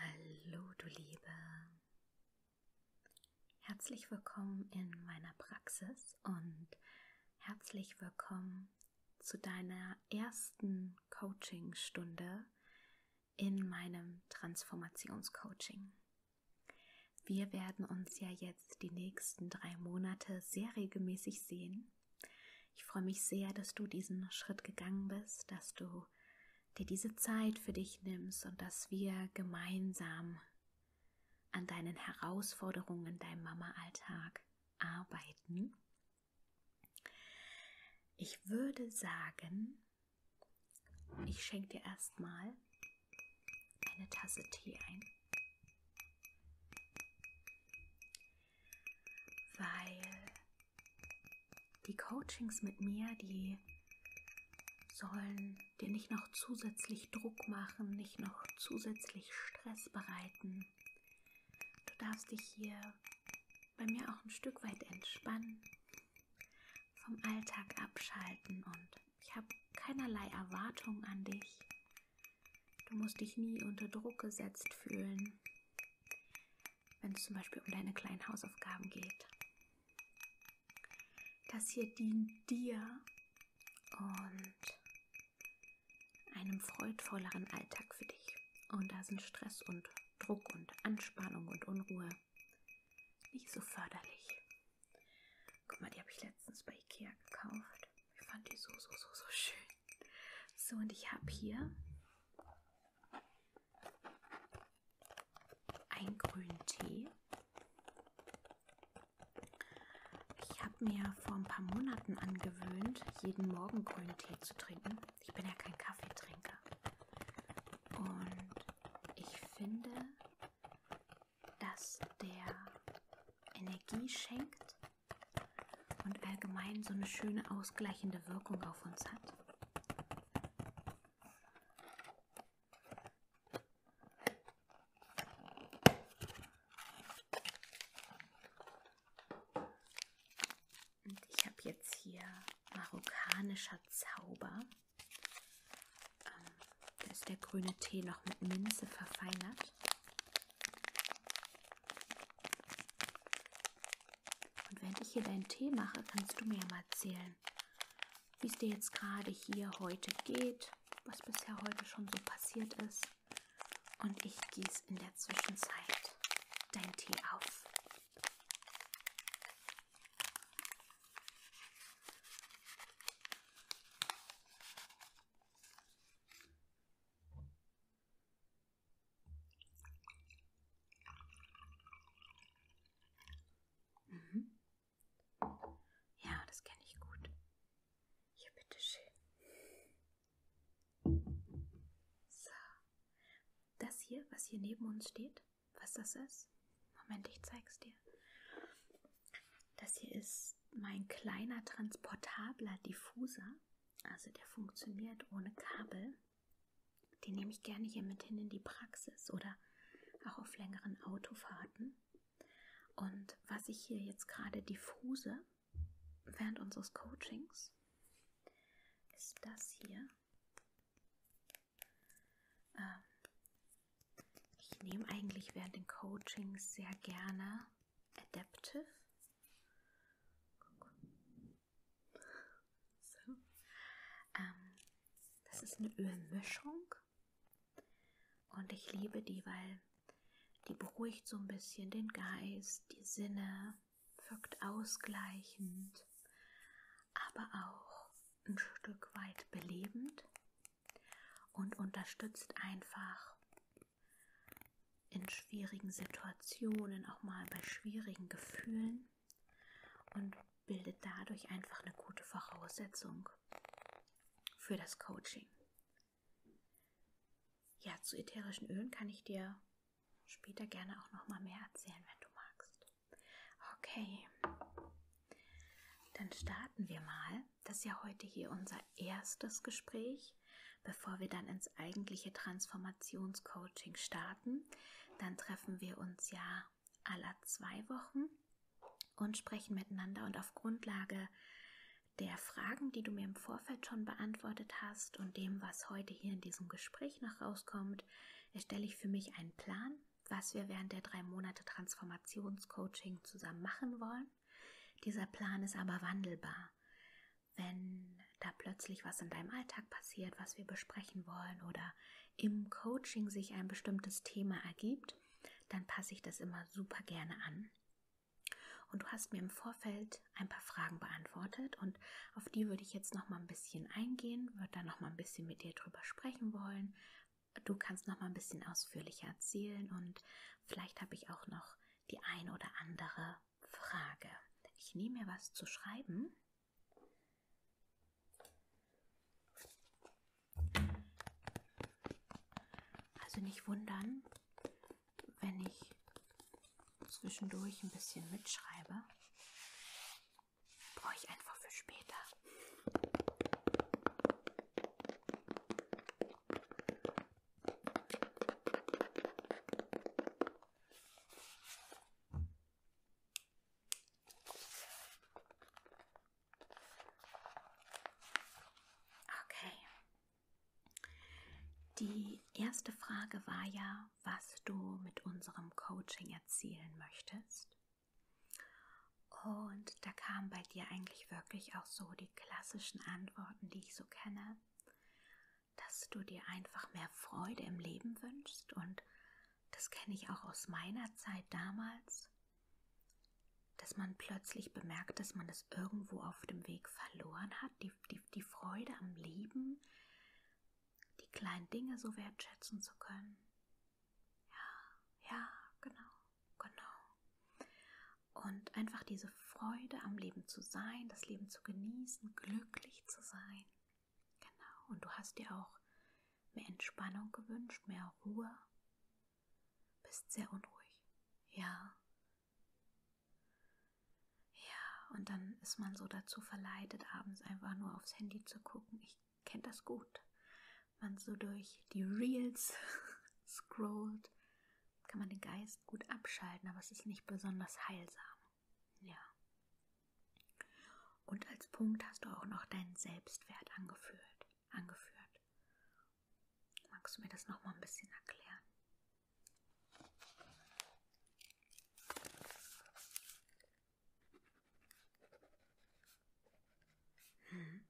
Hallo, du Liebe. Herzlich willkommen in meiner Praxis und herzlich willkommen zu deiner ersten Coachingstunde in meinem Transformationscoaching. Wir werden uns ja jetzt die nächsten drei Monate sehr regelmäßig sehen. Ich freue mich sehr, dass du diesen Schritt gegangen bist, dass du dir diese Zeit für dich nimmst und dass wir gemeinsam an deinen Herausforderungen in deinem Mama-Alltag arbeiten. Ich würde sagen, ich schenke dir erstmal eine Tasse Tee ein. Weil die Coachings mit mir, die sollen dir nicht noch zusätzlich Druck machen, nicht noch zusätzlich Stress bereiten. Du darfst dich hier bei mir auch ein Stück weit entspannen, vom Alltag abschalten und ich habe keinerlei Erwartung an dich. Du musst dich nie unter Druck gesetzt fühlen wenn es zum Beispiel um deine kleinen Hausaufgaben geht. Das hier dient dir und einem freudvolleren Alltag für dich. Und da sind Stress und Druck und Anspannung und Unruhe nicht so förderlich. Guck mal, die habe ich letztens bei Ikea gekauft. Ich fand die so, so, so, so schön. So, und ich habe hier einen grünen Tee. Ich habe mir vor ein paar Monaten angewöhnt, jeden Morgen grünen Tee zu trinken. Ich bin ja kein Kaffeetrinker. Und ich finde, dass der Energie schenkt und allgemein so eine schöne ausgleichende Wirkung auf uns hat. Und ich habe jetzt hier marokkanischer Zauber. Ähm, da ist der grüne Tee noch mit Minze verfeinert. Und während ich hier deinen Tee mache, kannst du mir ja mal erzählen, wie es dir jetzt gerade hier heute geht, was bisher heute schon so passiert ist. Und ich gieße in der Zwischenzeit deinen Tee auf. Mhm. Ja, das kenne ich gut. Hier, bitteschön. So. Das hier, was hier neben uns steht, was das ist? Moment, ich zeig's dir. Das hier ist mein kleiner transportabler Diffuser. Also der funktioniert ohne Kabel. Die nehme ich gerne hier mit hin in die Praxis oder auch auf längeren Autofahrten. Und was ich hier jetzt gerade diffuse während unseres Coachings, ist das hier. Ähm, ich nehme eigentlich während den Coachings sehr gerne Adaptive. So. Ähm, das ist eine Ölmischung und ich liebe die, weil die beruhigt so ein bisschen den Geist, die Sinne, wirkt ausgleichend, aber auch ein Stück weit belebend und unterstützt einfach in schwierigen Situationen, auch mal bei schwierigen Gefühlen und bildet dadurch einfach eine gute Voraussetzung für das Coaching. Ja, zu ätherischen Ölen kann ich dir später gerne auch noch mal mehr erzählen, wenn du magst. Okay. Dann starten wir mal. Das ist ja heute hier unser erstes Gespräch bevor wir dann ins eigentliche Transformationscoaching starten. Dann treffen wir uns ja aller zwei Wochen und sprechen miteinander und auf Grundlage der Fragen, die du mir im Vorfeld schon beantwortet hast und dem, was heute hier in diesem Gespräch noch rauskommt, erstelle ich für mich einen Plan, was wir während der drei Monate Transformationscoaching zusammen machen wollen. Dieser Plan ist aber wandelbar wenn da plötzlich was in deinem Alltag passiert, was wir besprechen wollen oder im Coaching sich ein bestimmtes Thema ergibt, dann passe ich das immer super gerne an. Und du hast mir im Vorfeld ein paar Fragen beantwortet und auf die würde ich jetzt noch mal ein bisschen eingehen, würde da noch mal ein bisschen mit dir drüber sprechen wollen. Du kannst noch mal ein bisschen ausführlicher erzählen und vielleicht habe ich auch noch die ein oder andere Frage. Ich nehme mir was zu schreiben. Also nicht wundern, wenn ich zwischendurch ein bisschen mitschreibe. Brauche ich einfach für später. Okay. Die erste Frage war ja, was du mit unserem Coaching erzielen möchtest. Und da kamen bei dir eigentlich wirklich auch so die klassischen Antworten, die ich so kenne dass du dir einfach mehr Freude im Leben wünschst und das kenne ich auch aus meiner Zeit damals, dass man plötzlich bemerkt, dass man das irgendwo auf dem Weg verloren hat, die, die, die Freude am Leben, die kleinen Dinge so wertschätzen zu können. Ja, ja, genau, genau und einfach diese Freude am Leben zu sein, das Leben zu genießen, glücklich zu sein. Genau. Und du hast dir auch mehr Entspannung gewünscht, mehr Ruhe. Bist sehr unruhig. Ja. Ja, und dann ist man so dazu verleitet, abends einfach nur aufs Handy zu gucken. Ich kenne das gut. Man so durch die Reels scrollt kann man den Geist gut abschalten, aber es ist nicht besonders heilsam. Ja. Und als Punkt hast du auch noch deinen Selbstwert angeführt, angeführt. Magst du mir das noch mal ein bisschen erklären? Hm.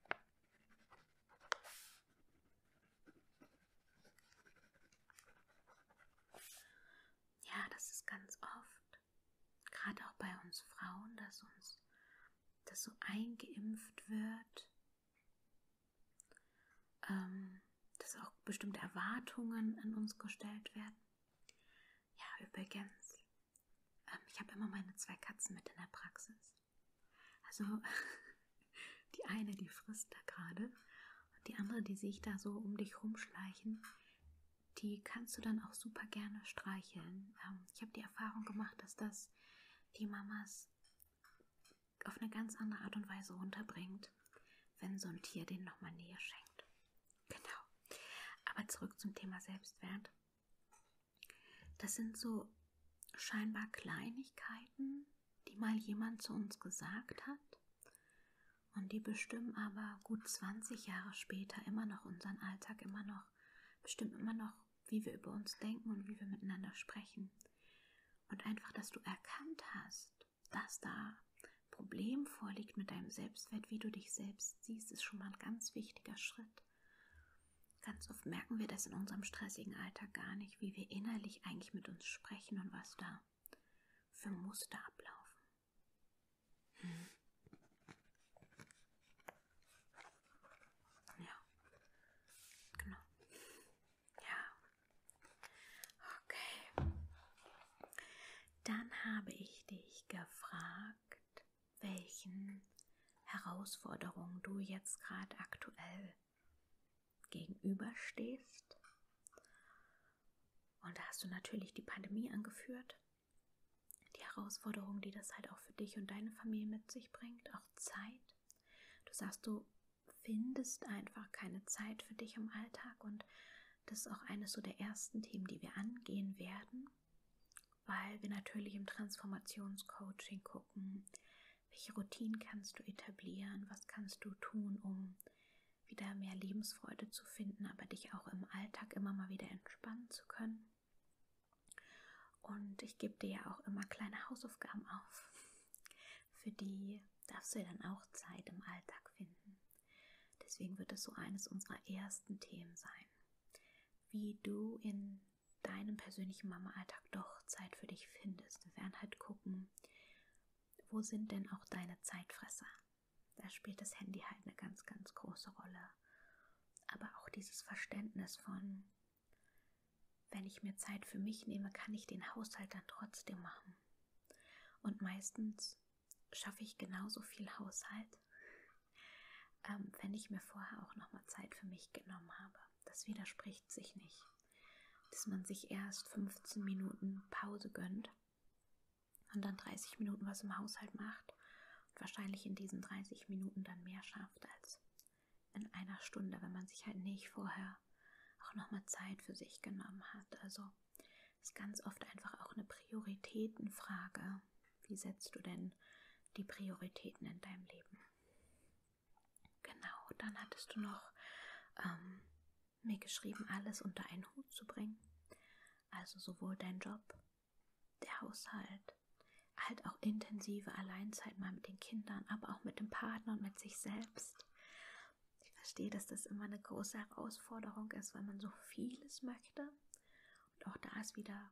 Ja, das ist ganz oft, gerade auch bei uns Frauen, dass uns das so eingeimpft wird, ähm, dass auch bestimmte Erwartungen an uns gestellt werden. Ja, übrigens, ähm, ich habe immer meine zwei Katzen mit in der Praxis. Also Die eine, die frisst da gerade. Und die andere, die sehe ich da so um dich rumschleichen, die kannst du dann auch super gerne streicheln. Ähm, ich habe die Erfahrung gemacht, dass das die Mamas auf eine ganz andere Art und Weise runterbringt, wenn so ein Tier denen nochmal Nähe schenkt. Genau. Aber zurück zum Thema Selbstwert. Das sind so scheinbar Kleinigkeiten, die mal jemand zu uns gesagt hat und die bestimmen aber gut 20 Jahre später immer noch unseren Alltag, immer noch, bestimmt immer noch, wie wir über uns denken und wie wir miteinander sprechen. Und einfach, dass du erkannt hast, dass da Problem vorliegt mit deinem Selbstwert, wie du dich selbst siehst, ist schon mal ein ganz wichtiger Schritt. Ganz oft merken wir das in unserem stressigen Alltag gar nicht, wie wir innerlich eigentlich mit uns sprechen und was da für Muster ablaufen. Hm. Ja, genau. Ja. Okay. Dann habe ich dich gefragt, welchen Herausforderungen du jetzt gerade aktuell gegenüberstehst. Und da hast du natürlich die Pandemie angeführt, die Herausforderungen, die das halt auch für dich und deine Familie mit sich bringt, auch Zeit. Du sagst, du findest einfach keine Zeit für dich im Alltag und das ist auch eines so der ersten Themen, die wir angehen werden, weil wir natürlich im Transformationscoaching gucken, welche Routinen kannst du etablieren? Was kannst du tun, um wieder mehr Lebensfreude zu finden, aber dich auch im Alltag immer mal wieder entspannen zu können? Und ich gebe dir ja auch immer kleine Hausaufgaben auf. Für die darfst du ja dann auch Zeit im Alltag finden. Deswegen wird es so eines unserer ersten Themen sein. Wie du in deinem persönlichen Mama-Alltag doch Zeit für dich findest. Wir werden halt gucken, gucken, wo sind denn auch deine Zeitfresser? Da spielt das Handy halt eine ganz, ganz große Rolle. Aber auch dieses Verständnis von, wenn ich mir Zeit für mich nehme, kann ich den Haushalt dann trotzdem machen. Und meistens schaffe ich genauso viel Haushalt, ähm, wenn ich mir vorher auch nochmal Zeit für mich genommen habe. Das widerspricht sich nicht. Dass man sich erst 15 Minuten Pause gönnt und dann 30 Minuten was im Haushalt macht und wahrscheinlich in diesen 30 Minuten dann mehr schafft als in einer Stunde, wenn man sich halt nicht vorher auch nochmal Zeit für sich genommen hat. Also ist ganz oft einfach auch eine Prioritätenfrage. Wie setzt du denn die Prioritäten in deinem Leben? Genau, dann hattest du noch ähm, mir geschrieben, alles unter einen Hut zu bringen. Also sowohl dein Job, der Haushalt, halt auch intensive Alleinzeit mal mit den Kindern, aber auch mit dem Partner und mit sich selbst. Ich verstehe, dass das immer eine große Herausforderung ist, weil man so vieles möchte. Und auch da ist wieder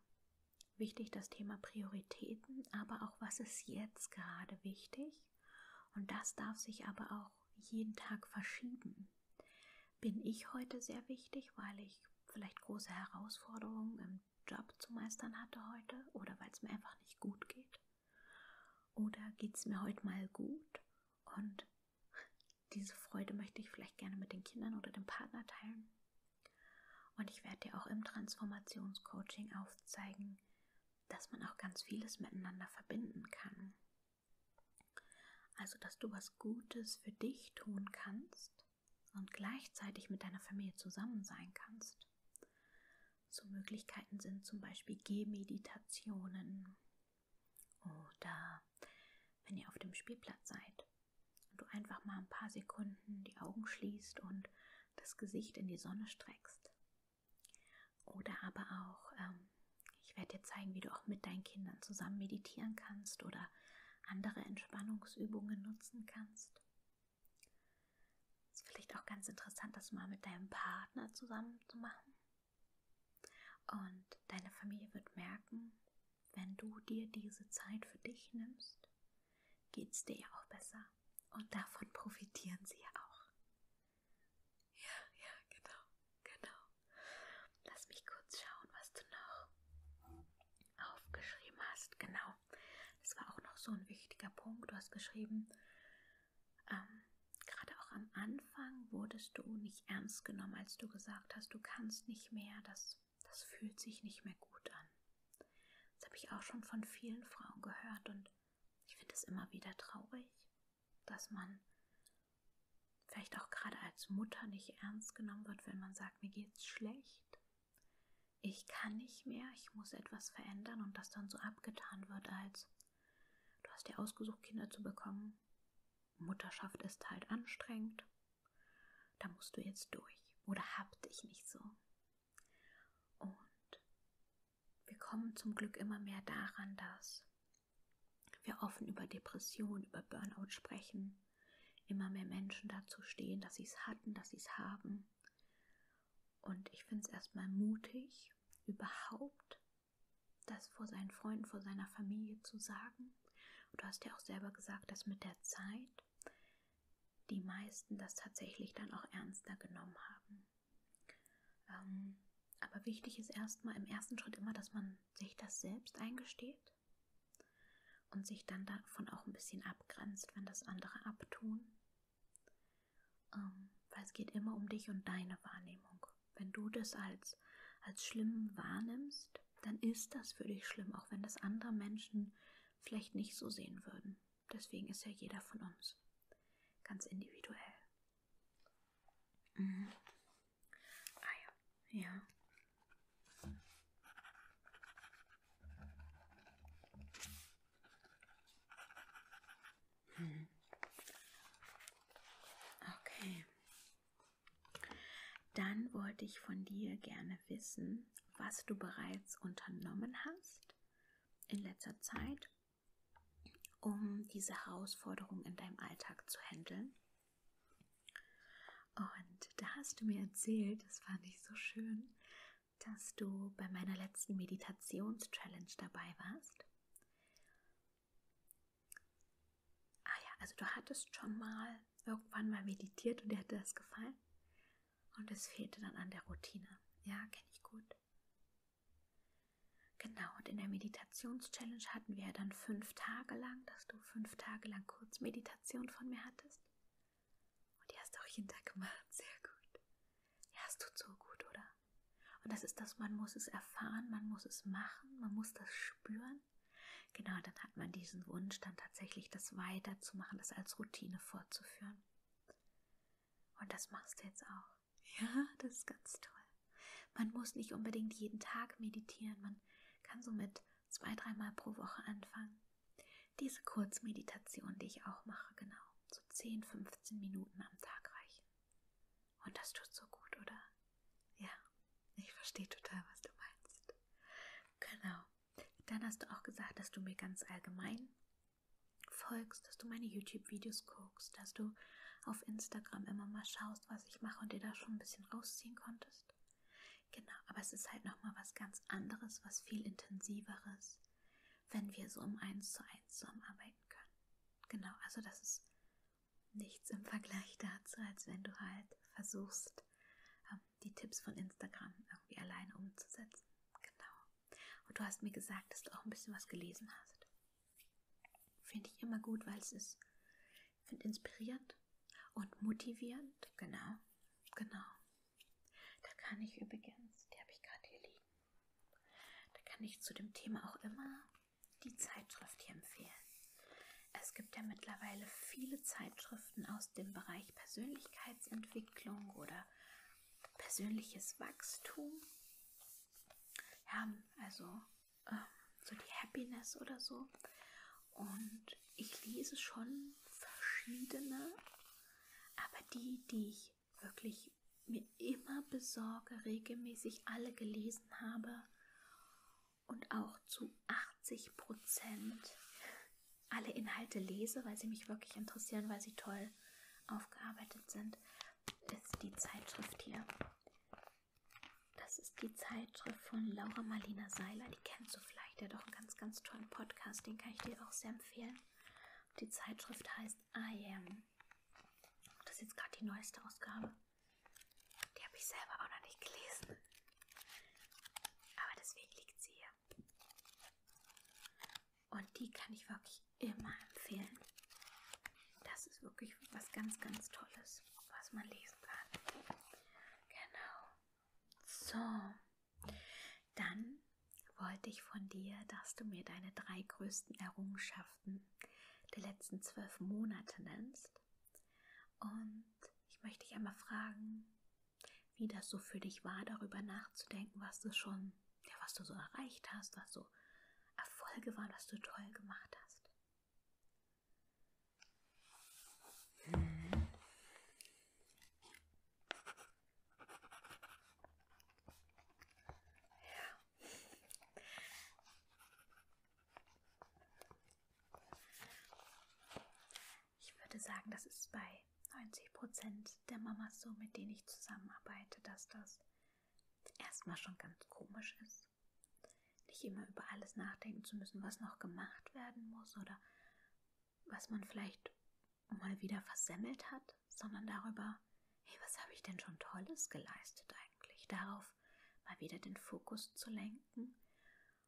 wichtig das Thema Prioritäten, aber auch was ist jetzt gerade wichtig wichtig und das darf sich aber auch jeden Tag verschieben. Bin ich heute sehr wichtig, weil ich vielleicht große Herausforderungen im Job zu meistern hatte heute oder weil es mir einfach nicht gut geht? Oder geht es mir heute mal gut und diese Freude möchte ich vielleicht gerne mit den Kindern oder dem Partner teilen? Und ich werde dir auch im Transformationscoaching aufzeigen, dass man auch ganz vieles miteinander verbinden kann. Also, dass du was Gutes für dich tun kannst und gleichzeitig mit deiner Familie zusammen sein kannst. So Möglichkeiten sind zum Beispiel Gehmeditationen oder wenn ihr auf dem Spielplatz seid und du einfach mal ein paar Sekunden die Augen schließt und das Gesicht in die Sonne streckst. Oder aber auch, ähm, ich werde dir zeigen, wie du auch mit deinen Kindern zusammen meditieren kannst oder andere Entspannungsübungen nutzen kannst. Ist vielleicht auch ganz interessant, das mal mit deinem Partner zusammen zu machen. Und deine Familie wird merken, wenn du dir diese Zeit für dich nimmst, geht es dir ja auch besser. Und davon profitieren sie ja auch. Ja, ja, genau, genau. Lass mich kurz schauen, was du noch aufgeschrieben hast. Genau. Das war auch noch so ein wichtiger Punkt. Du hast geschrieben, ähm, gerade auch am Anfang wurdest du nicht ernst genommen, als du gesagt hast, du kannst nicht mehr, das, das fühlt sich nicht mehr gut an. Das habe ich auch schon von vielen Frauen gehört und ich finde es immer wieder traurig, dass man vielleicht auch gerade als Mutter nicht ernst genommen wird, wenn man sagt, mir geht's schlecht. Ich kann nicht mehr, ich muss etwas verändern und das dann so abgetan wird als du hast dir ausgesucht, Kinder zu bekommen. Mutterschaft ist halt anstrengend. Da musst du jetzt durch. Oder hab dich nicht so. Und wir kommen zum Glück immer mehr daran, dass wir offen über Depression, über Burnout sprechen, immer mehr Menschen dazu stehen, dass sie es hatten, dass sie es haben. Und ich finde es erstmal mutig, überhaupt das vor seinen Freunden, vor seiner Familie zu sagen. Und du hast ja auch selber gesagt, dass mit der Zeit die meisten das tatsächlich dann auch ernster genommen haben. Ähm, aber wichtig ist erstmal im ersten Schritt immer, dass man sich das selbst eingesteht und sich dann davon auch ein bisschen abgrenzt, wenn das andere abtun. Ähm, weil es geht immer um dich und deine Wahrnehmung. Wenn du das als, als schlimm wahrnimmst, dann ist das für dich schlimm, auch wenn das andere Menschen vielleicht nicht so sehen würden. Deswegen ist ja jeder von uns ganz individuell. Mhm. Ah ja, ja. Hm. Okay. Dann wollte ich von dir gerne wissen, was du bereits unternommen hast, in letzter Zeit, um diese Herausforderung in deinem Alltag zu handeln. Und da hast du mir erzählt, das fand ich so schön, dass du bei meiner letzten Meditations-Challenge dabei warst. Ah ja, also du hattest schon mal irgendwann mal meditiert und dir hat das gefallen. Und es fehlte dann an der Routine. Ja, kenne ich gut. Genau, und in der Meditationschallenge hatten wir dann fünf Tage lang, dass du fünf Tage lang Kurzmeditation von mir hattest. Und die hast du auch jeden Tag gemacht. Sehr gut. Ja, es tut so gut, oder? Und das ist das, man muss es erfahren, man muss es machen, man muss das spüren. Genau, dann hat man diesen Wunsch, dann tatsächlich das weiterzumachen, das als Routine fortzuführen. Und das machst du jetzt auch. Ja, das ist ganz toll. Man muss nicht unbedingt jeden Tag meditieren, man kann somit zwei, dreimal pro Woche anfangen. Diese Kurzmeditation, die ich auch mache, genau, so 10, 15 Minuten am Tag reichen. Und das tut so gut, oder? Ja, ich verstehe total, was du meinst. Genau. Dann hast du auch gesagt, dass du mir ganz allgemein folgst, dass du meine YouTube-Videos guckst, dass du auf Instagram immer mal schaust, was ich mache und dir da schon ein bisschen rausziehen konntest. Genau, aber es ist halt nochmal was ganz anderes, was viel intensiveres, wenn wir so um eins zu eins zusammenarbeiten können. Genau, also das ist nichts im Vergleich dazu, als wenn du halt versuchst, ähm, die Tipps von Instagram irgendwie alleine umzusetzen. Genau. Und du hast mir gesagt, dass du auch ein bisschen was gelesen hast. Finde ich immer gut, weil es ist, finde inspirierend und motivierend. Genau, genau. Da kann ich übrigens, die habe ich gerade hier liegen, da kann ich zu dem Thema auch immer die Zeitschrift hier empfehlen. Es gibt ja mittlerweile viele Zeitschriften Eigenschaften aus dem Bereich Persönlichkeitsentwicklung oder persönliches Wachstum. Ja, also äh, so die Happiness oder so. Und ich lese schon verschiedene, aber die, die ich wirklich mir immer besorge, regelmäßig alle gelesen habe und auch zu 80 Prozent alle Inhalte lese, weil sie mich wirklich interessieren, weil sie toll aufgearbeitet sind, ist die Zeitschrift hier. Das ist die Zeitschrift von Laura Marlina Seiler. Die kennst du vielleicht. Die hat auch einen ganz, ganz tollen Podcast. Den kann ich dir auch sehr empfehlen. Die Zeitschrift heißt I Am. Das ist jetzt gerade die neueste Ausgabe. Die habe ich selber auch noch nicht gelesen. Aber deswegen liegt sie hier. Und die kann ich wirklich immer empfehlen. Das ist wirklich was ganz, ganz Tolles, was man lesen kann. Genau. So, dann wollte ich von dir, dass du mir deine drei größten Errungenschaften der letzten zwölf Monate nennst. Und ich möchte dich einmal fragen, wie das so für dich war, darüber nachzudenken, was du schon, ja, was du so erreicht hast, was so Erfolge waren, was du toll gemacht hast. Hm. Ja. Ich würde sagen, das ist bei 90% der Mamas so, mit denen ich zusammenarbeite, dass das erstmal schon ganz komisch ist. Nicht immer über alles nachdenken zu müssen, was noch gemacht werden muss oder was man vielleicht mal wieder versemmelt hat, sondern darüber, hey, was habe ich denn schon Tolles geleistet eigentlich? Darauf mal wieder den Fokus zu lenken.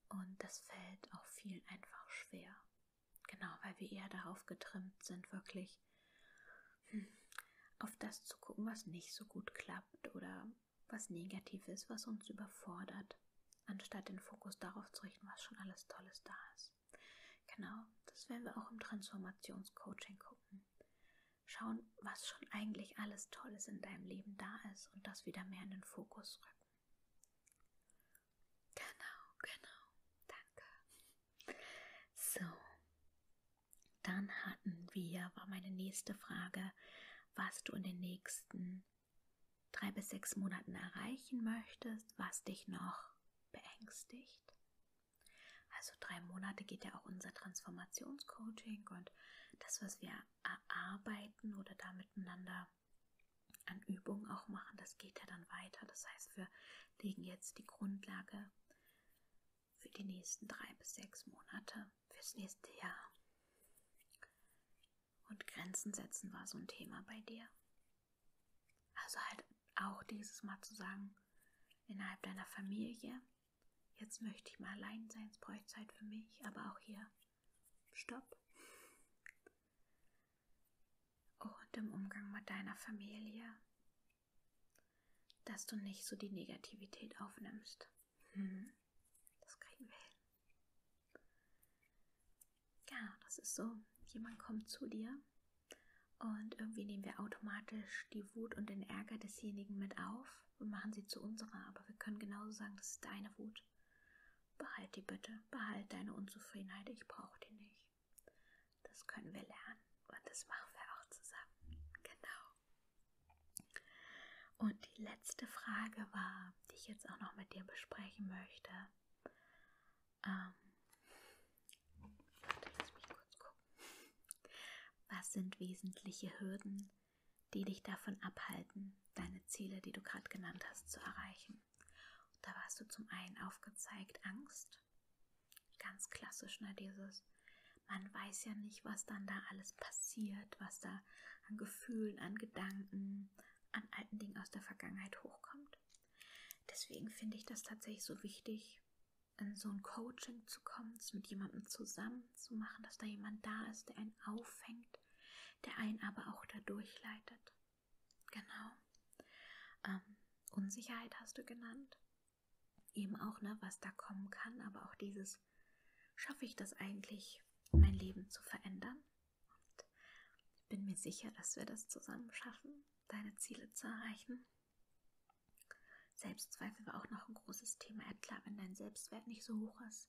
Und das fällt auch vielen einfach schwer. Genau, weil wir eher darauf getrimmt sind, wirklich hm, auf das zu gucken, was nicht so gut klappt oder was negativ ist, was uns überfordert, anstatt den Fokus darauf zu richten, was schon alles Tolles da ist. Genau, das werden wir auch im Transformationscoaching gucken. Schauen, was schon eigentlich alles Tolles in deinem Leben da ist und das wieder mehr in den Fokus rücken. Genau, genau, danke. So, dann hatten wir, war meine nächste Frage, was du in den nächsten drei bis sechs Monaten erreichen möchtest, was dich noch beängstigt. Also drei Monate geht ja auch unser Transformationscoaching und das, was wir erarbeiten oder da miteinander an Übungen auch machen. Das geht ja dann weiter. Das heißt, wir legen jetzt die Grundlage für die nächsten drei bis sechs Monate, fürs nächste Jahr. Und Grenzen setzen war so ein Thema bei dir. Also halt auch dieses Mal zu sagen, innerhalb deiner Familie, jetzt möchte ich mal allein sein, es bräuchte Zeit für mich, aber auch hier, stopp und im Umgang mit deiner Familie, dass du nicht so die Negativität aufnimmst. Hm. Das kriegen wir hin. Ja, genau, das ist so. Jemand kommt zu dir und irgendwie nehmen wir automatisch die Wut und den Ärger desjenigen mit auf und machen sie zu unserer. Aber wir können genauso sagen, das ist deine Wut. Behalt die bitte, behalt deine Unzufriedenheit, ich brauche die nicht. Das können wir lernen und das machen wir auch zusammen. Genau. Und die letzte Frage war, die ich jetzt auch noch mit dir besprechen möchte. Ähm, lass mich kurz gucken. Was sind wesentliche Hürden, die dich davon abhalten, deine Ziele, die du gerade genannt hast, zu erreichen. Und da warst du zum einen aufgezeigt Angst, ganz klassisch, ne, dieses, man weiß ja nicht, was dann da alles passiert, was da an Gefühlen, an Gedanken, an alten Dingen aus der Vergangenheit hochkommt. Deswegen finde ich das tatsächlich so wichtig, in so ein Coaching zu kommen, es mit jemandem zusammen zu machen, dass da jemand da ist, der einen auffängt, der einen aber auch dadurch leitet. Genau. Ähm, Unsicherheit hast du genannt. Eben auch, ne, was da kommen kann, aber auch dieses, schaffe ich das eigentlich, mein Leben zu verändern? Und ich bin mir sicher, dass wir das zusammen schaffen, deine Ziele zu erreichen. Selbstzweifel war auch noch ein großes Thema. Ja, klar, wenn dein Selbstwert nicht so hoch ist,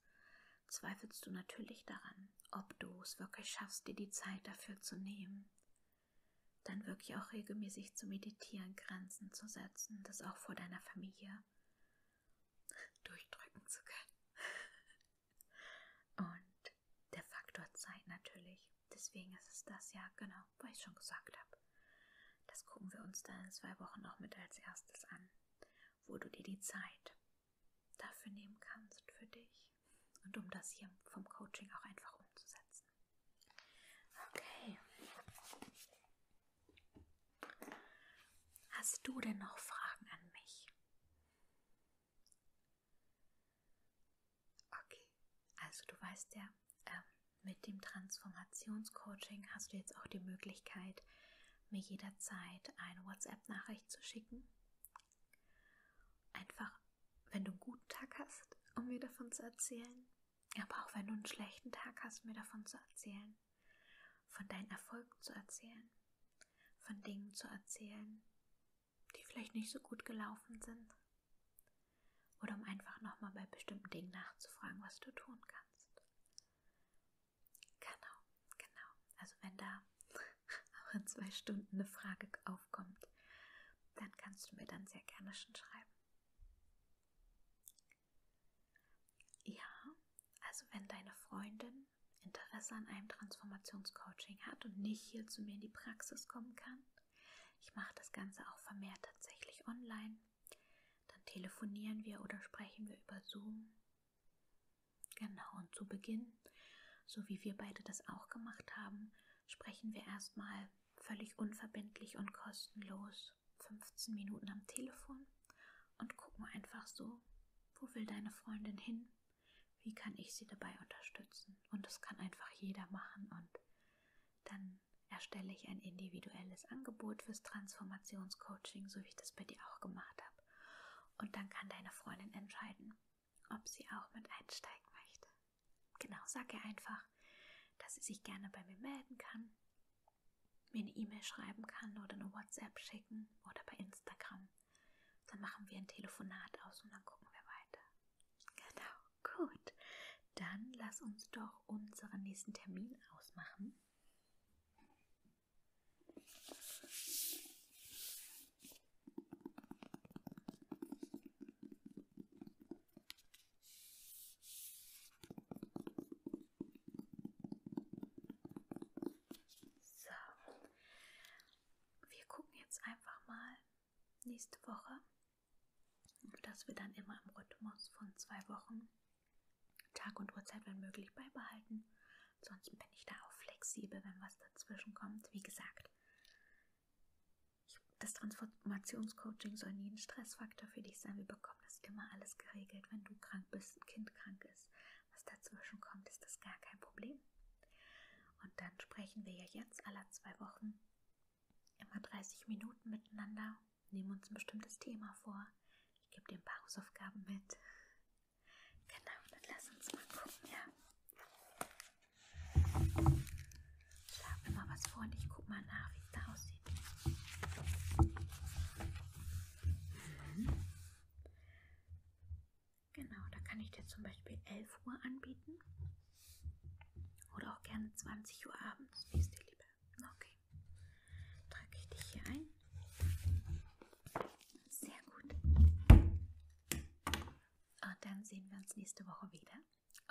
zweifelst du natürlich daran, ob du es wirklich schaffst, dir die Zeit dafür zu nehmen. Dann wirklich auch regelmäßig zu meditieren, Grenzen zu setzen, das auch vor deiner Familie durchdrücken zu können. Und der Faktor Zeit natürlich. Deswegen ist es das ja, genau, was ich schon gesagt habe. Das gucken wir uns dann in zwei Wochen noch mit als erstes an, wo du dir die Zeit dafür nehmen kannst für dich und um das hier vom Coaching auch einfach umzusetzen. Okay. Hast du denn noch Fragen an mich? Okay, also du weißt ja, äh, mit dem Transformationscoaching hast du jetzt auch die Möglichkeit, mir jederzeit eine WhatsApp-Nachricht zu schicken. Einfach, wenn du einen guten Tag hast, um mir davon zu erzählen. Aber auch wenn du einen schlechten Tag hast, mir davon zu erzählen. Von deinen Erfolgen zu erzählen. Von Dingen zu erzählen, die vielleicht nicht so gut gelaufen sind. Oder um einfach nochmal bei bestimmten Dingen nachzufragen, was du tun kannst. Genau, genau. Also wenn da auch in zwei Stunden eine Frage aufkommt, dann kannst du mir dann sehr gerne schon schreiben. Ja, also wenn deine Freundin Interesse an einem Transformationscoaching hat und nicht hier zu mir in die Praxis kommen kann, ich mache das Ganze auch vermehrt tatsächlich online, dann telefonieren wir oder sprechen wir über Zoom Genau, und zu Beginn, so wie wir beide das auch gemacht haben, sprechen wir erstmal völlig unverbindlich und kostenlos 15 Minuten am Telefon und gucken einfach so, wo will deine Freundin hin? Wie kann ich sie dabei unterstützen? Und das kann einfach jeder machen und dann erstelle ich ein individuelles Angebot fürs Transformationscoaching, so wie ich das bei dir auch gemacht habe. Und dann kann deine Freundin entscheiden, ob sie auch mit einsteigen möchte. Genau, sag ihr einfach, dass sie sich gerne bei mir melden kann, mir eine E-Mail schreiben kann oder eine WhatsApp schicken oder bei Instagram. Dann machen wir ein Telefonat aus und dann gucken wir weiter. Genau, gut. Dann lass uns doch unseren nächsten Termin ausmachen. So, wir gucken jetzt einfach mal nächste Woche, dass wir dann immer im Rhythmus von zwei Wochen Tag und Uhrzeit, wenn möglich, beibehalten. Sonst bin ich da auch flexibel, wenn was dazwischen kommt. Wie gesagt, das Transformationscoaching soll nie ein Stressfaktor für dich sein. Wir bekommen das immer alles geregelt. Wenn du krank bist, ein Kind krank ist, was dazwischen kommt, ist das gar kein Problem. Und dann sprechen wir ja jetzt alle zwei Wochen immer 30 Minuten miteinander, nehmen uns ein bestimmtes Thema vor. Ich gebe dir ein paar Hausaufgaben mit. Genau, dann lass uns mal gucken, ja. Schlag mir mal was vor und ich guck mal nach, wie es da aussieht. Mhm. Genau, da kann ich dir zum Beispiel 11 Uhr anbieten. Oder auch gerne 20 Uhr abends, wie es dir lieber. Okay. Trage ich dich hier ein. Sehr gut. Und dann sehen wir uns nächste Woche wieder.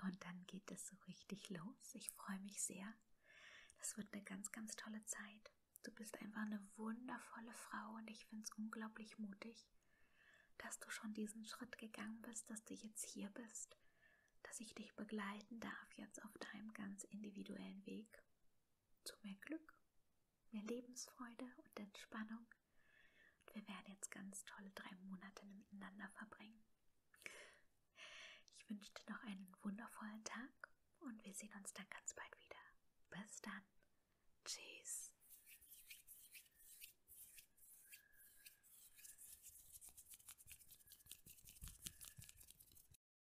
Und dann geht es so richtig los. Ich freue mich sehr. Das wird eine ganz, ganz tolle Zeit. Du bist einfach eine wundervolle Frau und ich finde es unglaublich mutig, dass du schon diesen Schritt gegangen bist, dass du jetzt hier bist, dass ich dich begleiten darf jetzt auf deinem ganz individuellen Weg zu mehr Glück, mehr Lebensfreude und Entspannung. Und wir werden jetzt ganz tolle drei Monate miteinander verbringen. Ich wünsche dir noch einen wundervollen Tag und wir sehen uns dann ganz bald wieder. Bis dann. Tschüss.